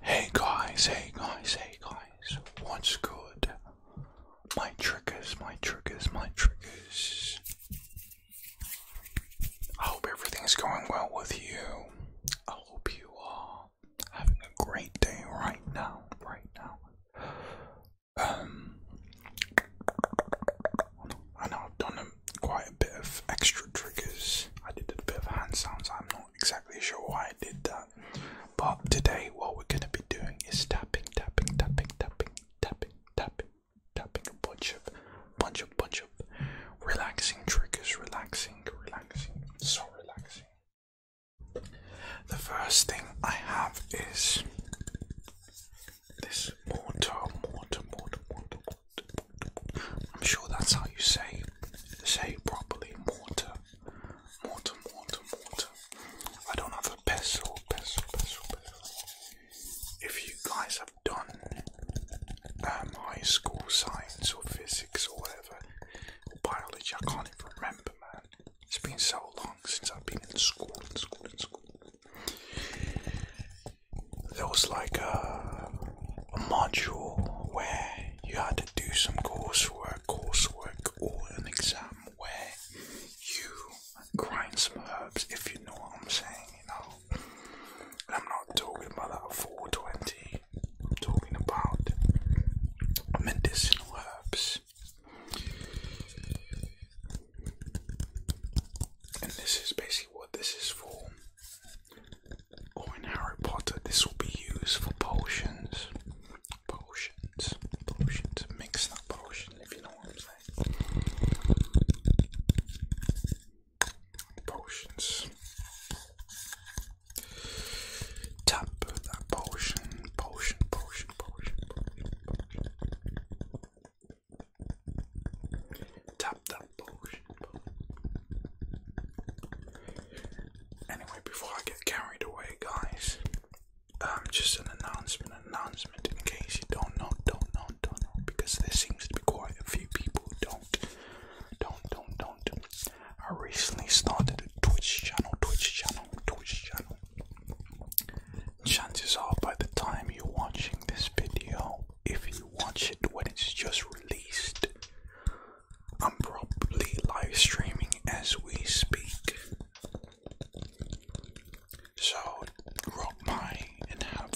Hey guys, hey guys, hey guys, what's good? My triggers, my triggers, my triggers. I hope everything's going well with you. I hope you are having a great day right now, right now. Um, I know I've done quite a bit of extra triggers. I did a bit of hand sounds. I'm not exactly sure why I did that. But today, what we're going to be doing is tapping, tapping, tapping, tapping, tapping, tapping, tapping a bunch of, bunch of, bunch of relaxing triggers, relaxing, relaxing, so relaxing. The first thing I have is this mortar, mortar, mortar, mortar, mortar. I'm sure that's how you say say properly mortar water, water, water, I don't have a pestle, pestle, pestle, pestle. If you guys have done um, high school science or physics or whatever, or biology, I can't even remember, man. It's been so long since I've been in school, in school, in school. There was like a uh, a module where you had to do some coursework, coursework, or an exam where you grind some herbs, if you know what I'm saying, you know. I'm not talking about that 420, I'm talking about medicinal herbs. And this is basically what this is for. Or in Harry Potter, this will be used for potions. Potions. Potions. Mix that potion if you know what I'm saying. Potions. Tap that potion. Potion, potion, potion, Tap that potion. Anyway, before I get carried away, guys, um, just an announcement, announcement in case you don't know, don't know, don't know, because there seems to be quite a few people who don't, don't, don't, don't. I recently started a Twitch channel, Twitch channel, Twitch channel. Chances are, by the time you're watching this video, if you watch it when it's just released, I'm probably live streaming as we speak. So drop by and have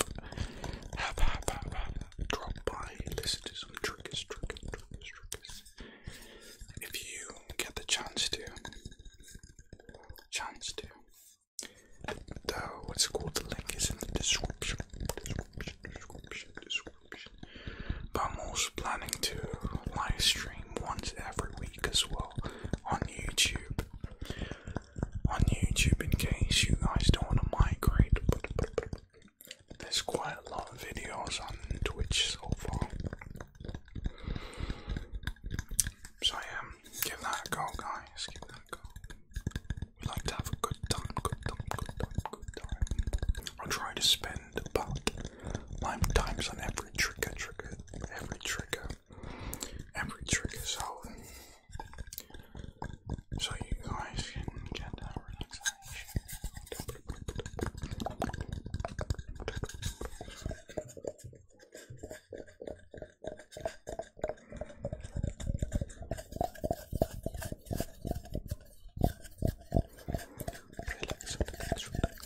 have have have, have drop by and listen triggers, triggers, triggers, triggers. If you get the chance to chance to though what's called the link is in the description subscription. But I'm also planning to live stream once every week as well on YouTube. On YouTube, in case you guys don't want to migrate, there's quite a lot of videos on Twitch so far. So, yeah, give that a go, guys. Give that a go. We like to have a good time, good time, good time, good time. I'll try to spend spend times on every trigger, trigger, every trigger, every trigger. So, so you guys can get that relaxation relax, relax, relax.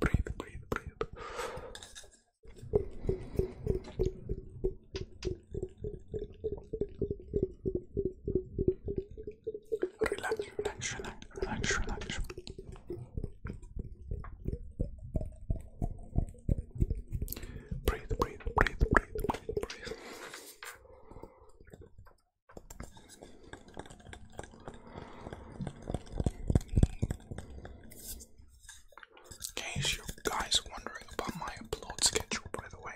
Breathe, breathe, breathe. Relax, relax, relax, relax, relax. Breathe, In case you guys wondering about my upload schedule, by the way,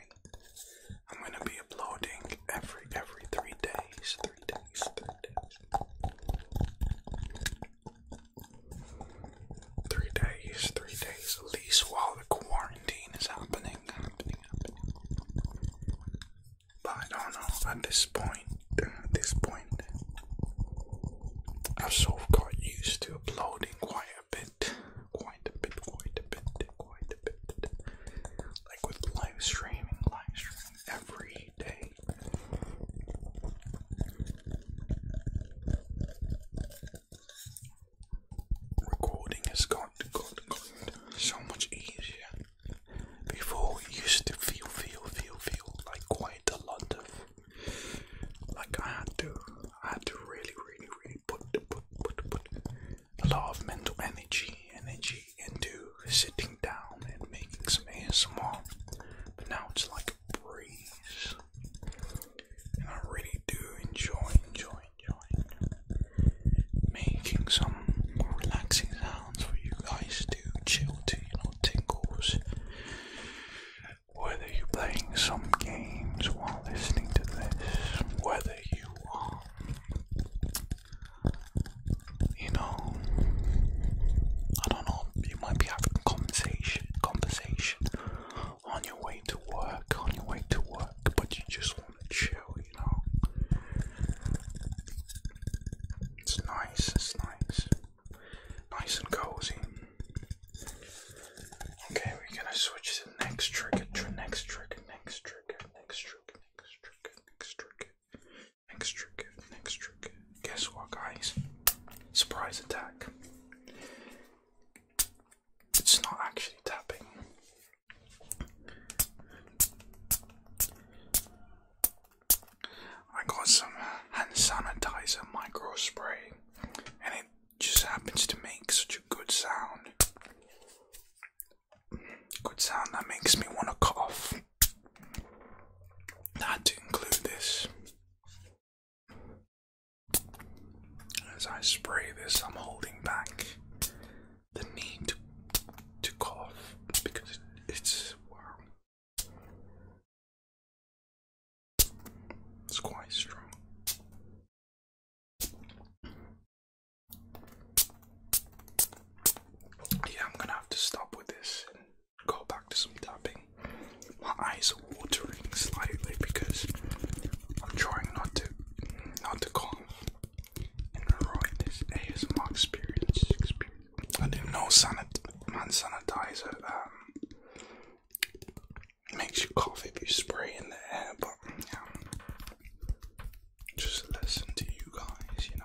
I'm gonna be uploading every every three days three days, three days at least while the quarantine is happening, happening, happening. But I don't know, at this point, at this point, I've sort of got used to uploading quite a bit, quite a bit, quite a bit, quite a bit. Like with live streaming, live streaming every day recording has got, got, got so much easier. Before we used to feel, feel, feel, feel like quite a lot of, like I had to, I had to really, really, really put, put, put, put a lot of mental energy, energy into sitting down and making some ASMR. But now it's like a breeze. I really do enjoy, enjoy, enjoy making some relaxing sounds for you guys to chill to, you know, tingles. Whether you're playing some games while listening to this, whether you are, you know, I don't know, you might be having conversation, conversation on your way to work, on your way to work, but you just want to chill, you know. It's nice, it's nice. Nice and cozy. Okay, we're gonna switch to next trick, tr next trigger, next trigger, next trigger, next trigger, next trigger, next trigger, next trigger. Guess what, guys? Surprise attack. It's not actually tapping. I got some hand sanitizer micro spray, and it just happens to make such a good sound. Good sound that makes me want to cough. I had to include this. As I spray this, I'm holding back the need to, cough because it's It's quite strong. Yeah, I'm gonna have to stop with this go back to some tapping. My eyes watering slightly because I'm trying not to not to cough and ruin this is ASMR experience. experience. I didn't know sanit man sanitizer um, makes you cough if you spray in the air, but Just listen to you guys, you know.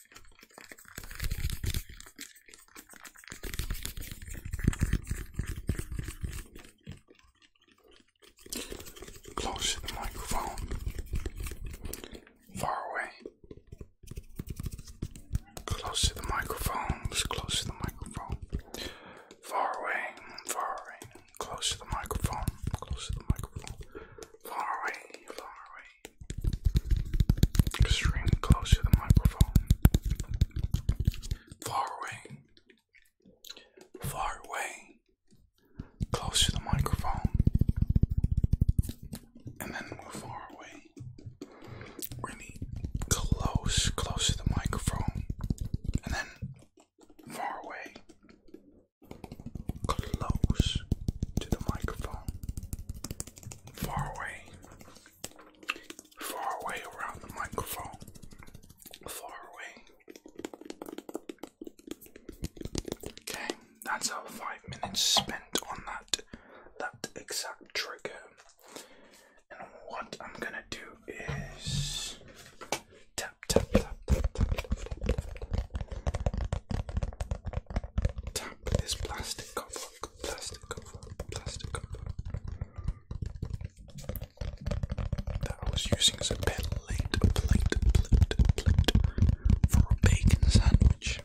Close to the microphone, far away. Close to the microphone, close to the microphone. Far away, far away, close to the microphone, close to the microphone. Far away, far away, Extremely close to the microphone. Far away. Far away. Close to the microphone. And then move far away. Really close, close to the microphone. And then far away. Close to the microphone. Far away far away around the microphone. Far away. Okay, that's our five minutes spent on that that exact trigger. And what I'm gonna do is tap tap tap tap tap tap tap tap, tap this plastic cover plastic cover, plastic cover that I was using as a plate, plate, plate, plate for a bacon sandwich.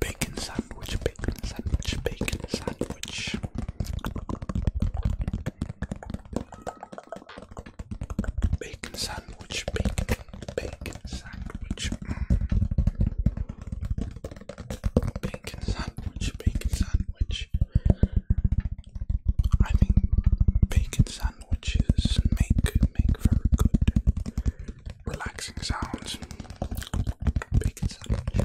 Bacon sandwich, bacon sandwich, bacon sandwich. Bacon sandwich, bacon, bacon sandwich. Mm. Bacon sandwich, bacon sandwich. I think bacon sandwiches make make very good relaxing sounds. Bacon sandwich.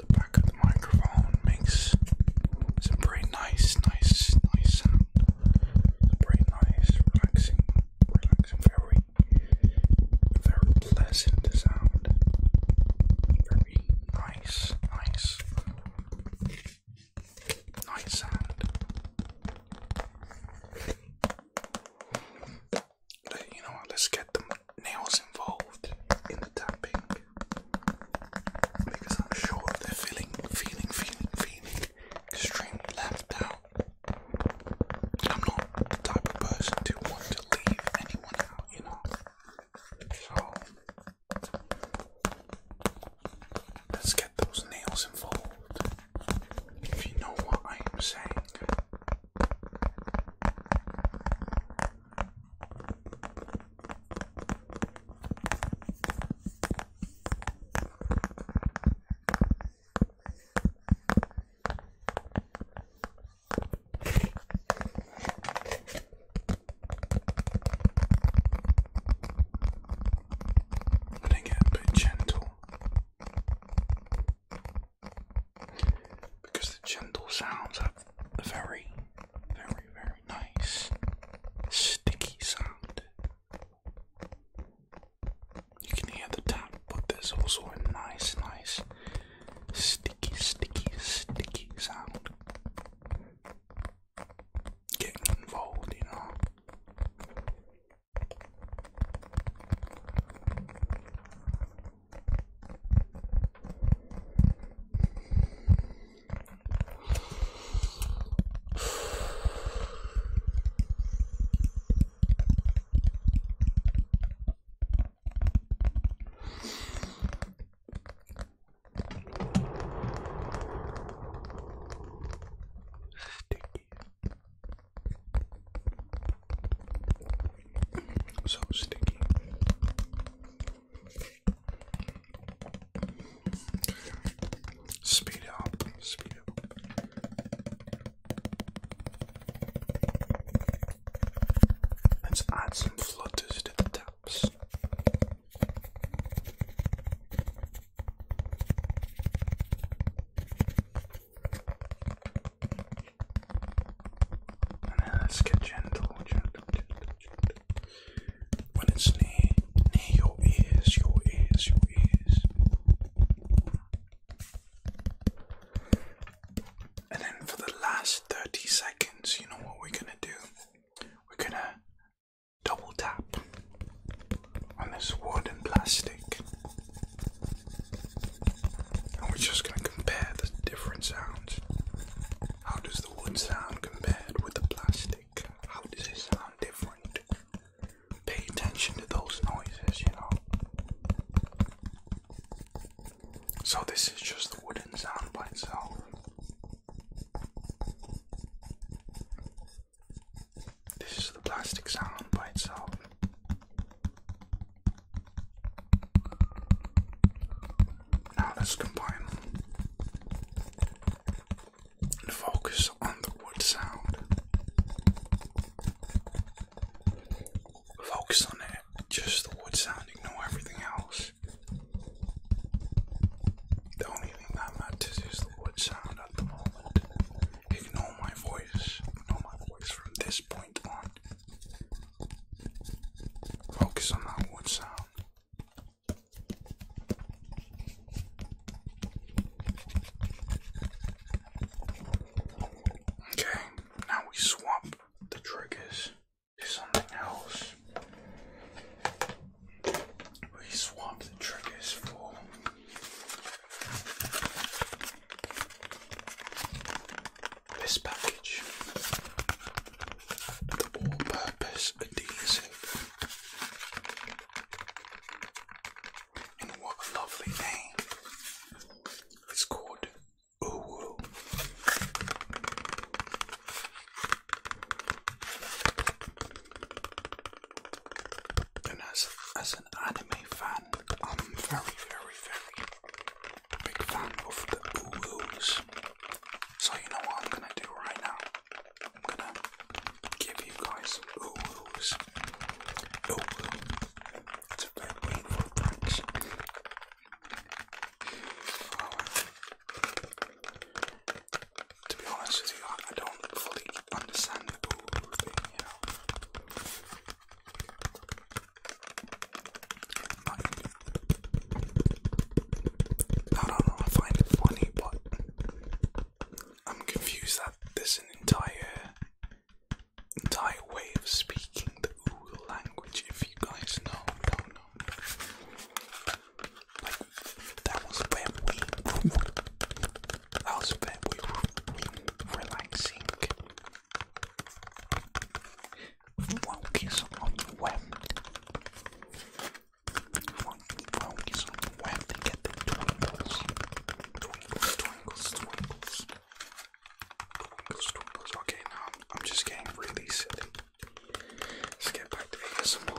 the back of the microphone makes some very nice, nice, nice sound. It's very nice, relaxing, relaxing, very, very pleasant sound. Very nice, nice, nice sound. But you know what? Let's get them nails involved in the tapping because I'm sure they're feeling, feeling, feeling, feeling extremely left out. I'm not the type of person to want to leave anyone out, you know. So let's get those nails involved. If you know what I am saying. And again, but gentle. Because the gentle sounds a very, very, very nice sticky sound. You can hear the tap, but there's also a nice, nice sticky, sticky, sticky sound. Getting involved, you know. Sticky. So sticky. Speed up, speed up. Let's add some flutters to the taps. And then let's get gentle, when it's near, near your ears, your ears, your ears. And then for the last 30 seconds, you know what we're gonna do? We're gonna double tap on this wood and plastic. And we're just gonna compare the different sounds. How does the sound compared with the plastic? How does it sound different? Pay attention to those noises, you know. So, this is just the wooden sound by itself. This is the plastic sound by itself. Now let's combine and focus on the wood sound. Focus on it, just the wood sound, ignore everything else. The only thing that matters is the wood sound at the moment. Ignore my voice, ignore my voice from this point on. Focus on that wood sound. Okay, now we swap the triggers to something else. We swap the triggers for this package all-purpose adhesive. And what a lovely name. It's called Uwu. And as as an anime fan, I'm very, very, very big fan of the Uwus. So you know what I'm gonna do right now? I'm gonna give you guys some oohs. Ooh ooh. It's a very um, To be honest with you, I, don't fully understand the ooh thing, you know. I don't know, I find it funny, but I'm confused that there's an entire entire way of speaking the Uru language, if you guys know, don't know. Like that was where we that was where we were relaxing. Focus on the web. Funky ponies on the web to get the twinkles. Twinkles, twinkles, twinkles. Twinkles, twinkles. Okay, now I'm, I'm just getting really silly. Let's get back to ASMR.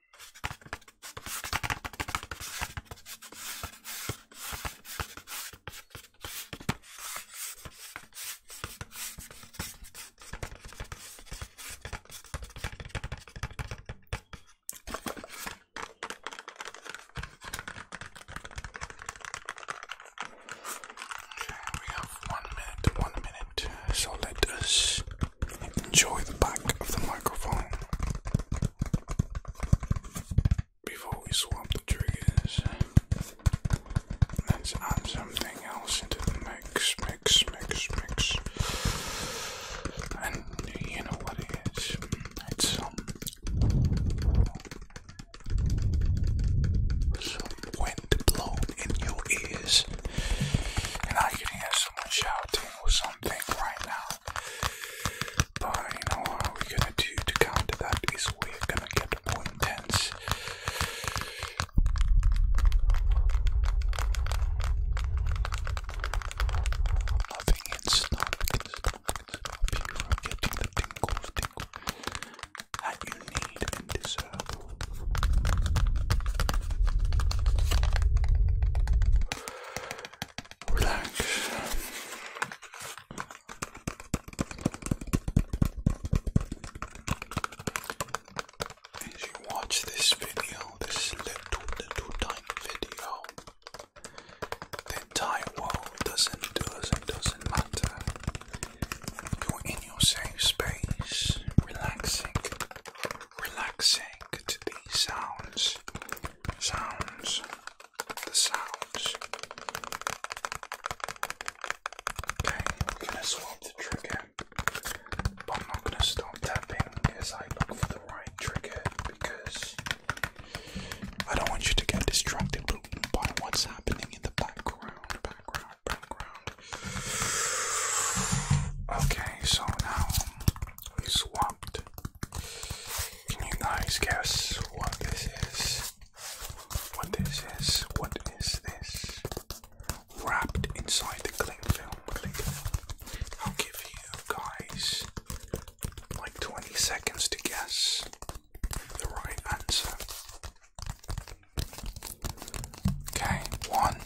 We have one minute, one minute, so let us enjoy the back of the microphone. Before we swap the triggers, let's add something else into the mix, mix, mix, mix. And you know what it is? It's um, some, wind blown in your ears, and I can hear someone shouting or something right now. But you know what we're gonna do to counter that is we're gonna get more intense. Nothing can stop, can stop, can stop you the tingles, you need and deserve relax. As you watch this video, this little, little tiny video, the entire world doesn't, doesn't, doesn't matter. You're in your safe space, relaxing, relaxing to these sounds sounds, the sounds. Okay, I'm gonna swap the trigger, but I'm not gonna stop tapping as I look for the right trigger because I don't want you to get distracted by what's happening in the background, background, background. Okay, so now we swapped can you guys guess what this is? What this is? What is this? Wrapped inside the cling film. I'll give you guys like 20 seconds to guess the right answer. Okay, one,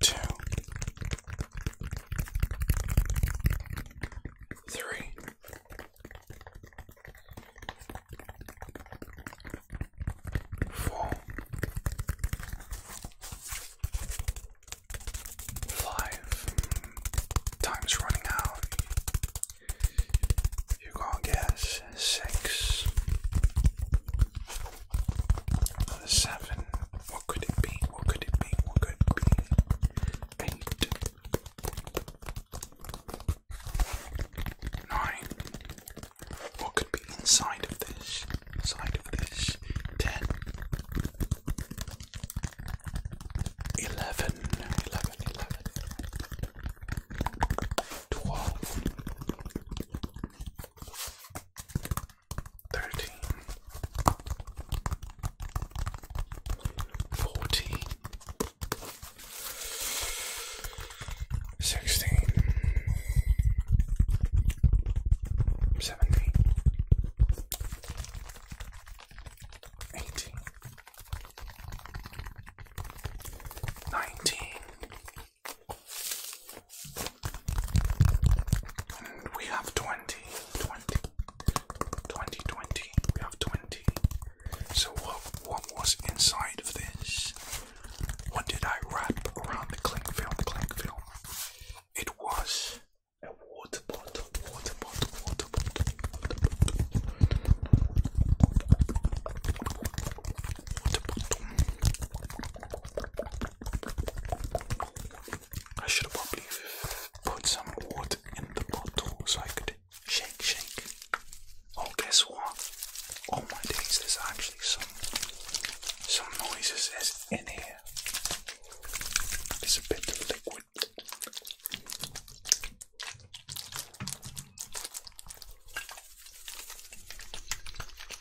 two, three, four, five. Time's running out. You are gonna guess six, seven. What could it be? What could it be? What could it be? nine. What could be inside of this? Inside of this. Ten. 11, 11, 11, 12, thirteen, fourteen, sixteen, seventeen, eighteen, nineteen we have 20, We have 20. So, what, what was inside of this? What did I wrap around the cling film? Cling film. It was a water bottle. Water bottle. Water bottle. I should have probably put some water in the bottle so I could shake, shake. Oh, guess what? Oh my gosh, there's actually some some noises is in here. There's a bit of liquid.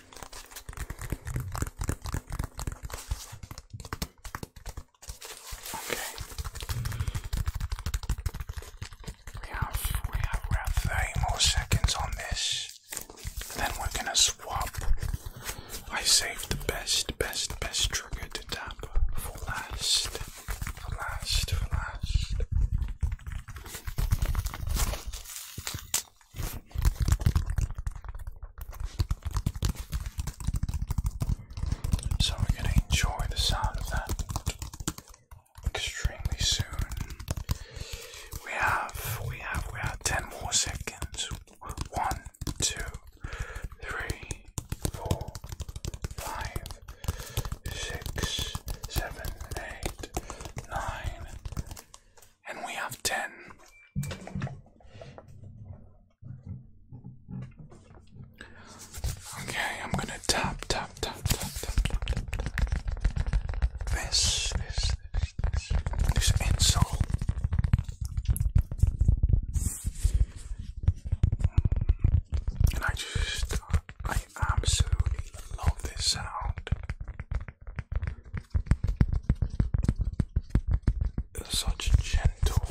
We have we have around 30 more seconds on this. Then we're gonna swap. I saved the best, best, best trigger to tap for last. For last, for last. So we're going to enjoy the sound of that extremely soon. We have, we have, we have 10 more seconds. One, two, three, four, five, six, seven, eight, nine and we have 10. Okay, I'm gonna tap, tap, tap, tap, tap, tap, This, this, this, this, this insole. And I just, I absolutely love this sound. Such gentle,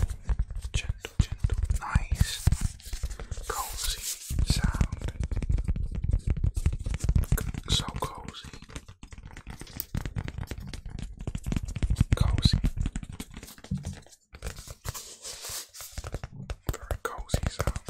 gentle, gentle, nice, cozy sound. So cozy. Cozy. Very cozy sound.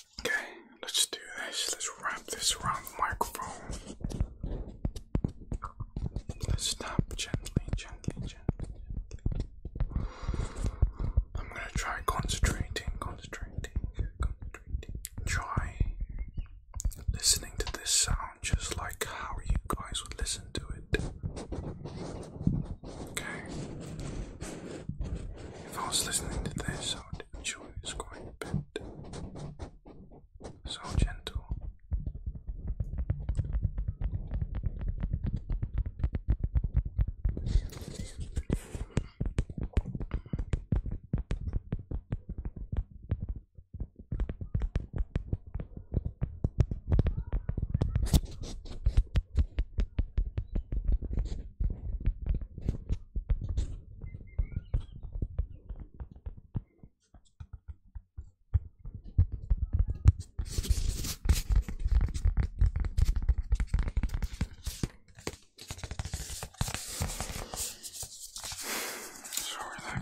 Okay, let's do this. Let's wrap this around the microphone. Let's tap gently, gently, gently, I'm gonna try concentrating, concentrating, concentrating. Try listening to this sound just like how you guys would listen to it. Okay. If I was listening to this, I would enjoy it quite a bit. So gentle.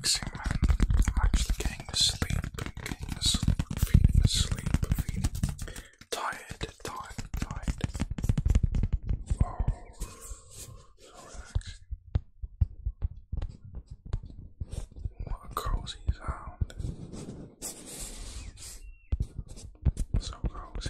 So relaxing, man. I'm actually getting to sleep, getting to sleep, feeding to sleep, feeding tired, tired, tired. Oh, so What a cozy sound. So cozy.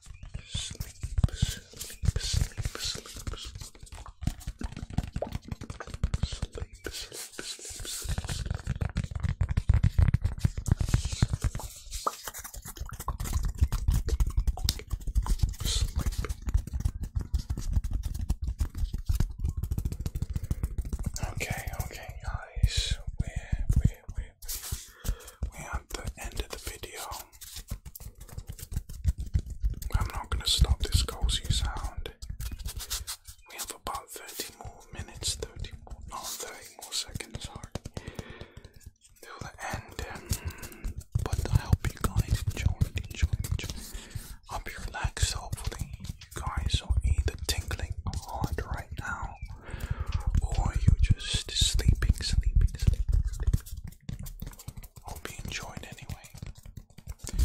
Sleep, sleep, sleep, sleep, sleep, sleep, sleep, sleep, sleep. Sleep. Okay, okay, guys, we're, we're, we're at the end of the video. I'm not going to stop this cozy sound. We have about 30 more minutes, 30 more, 30 more seconds, sorry, the end. but I hope you guys enjoyed, enjoyed, enjoyed. I hope you Hopefully, you guys are either tinkling hard right now or you're just sleeping, sleeping, sleeping. Hope you enjoyed anyway.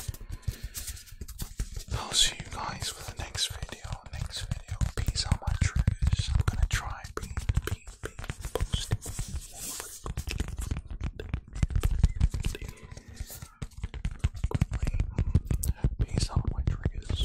I'll see you guys for the next video. Next video. Peace out my triggers. I'm gonna try Peace out my triggers.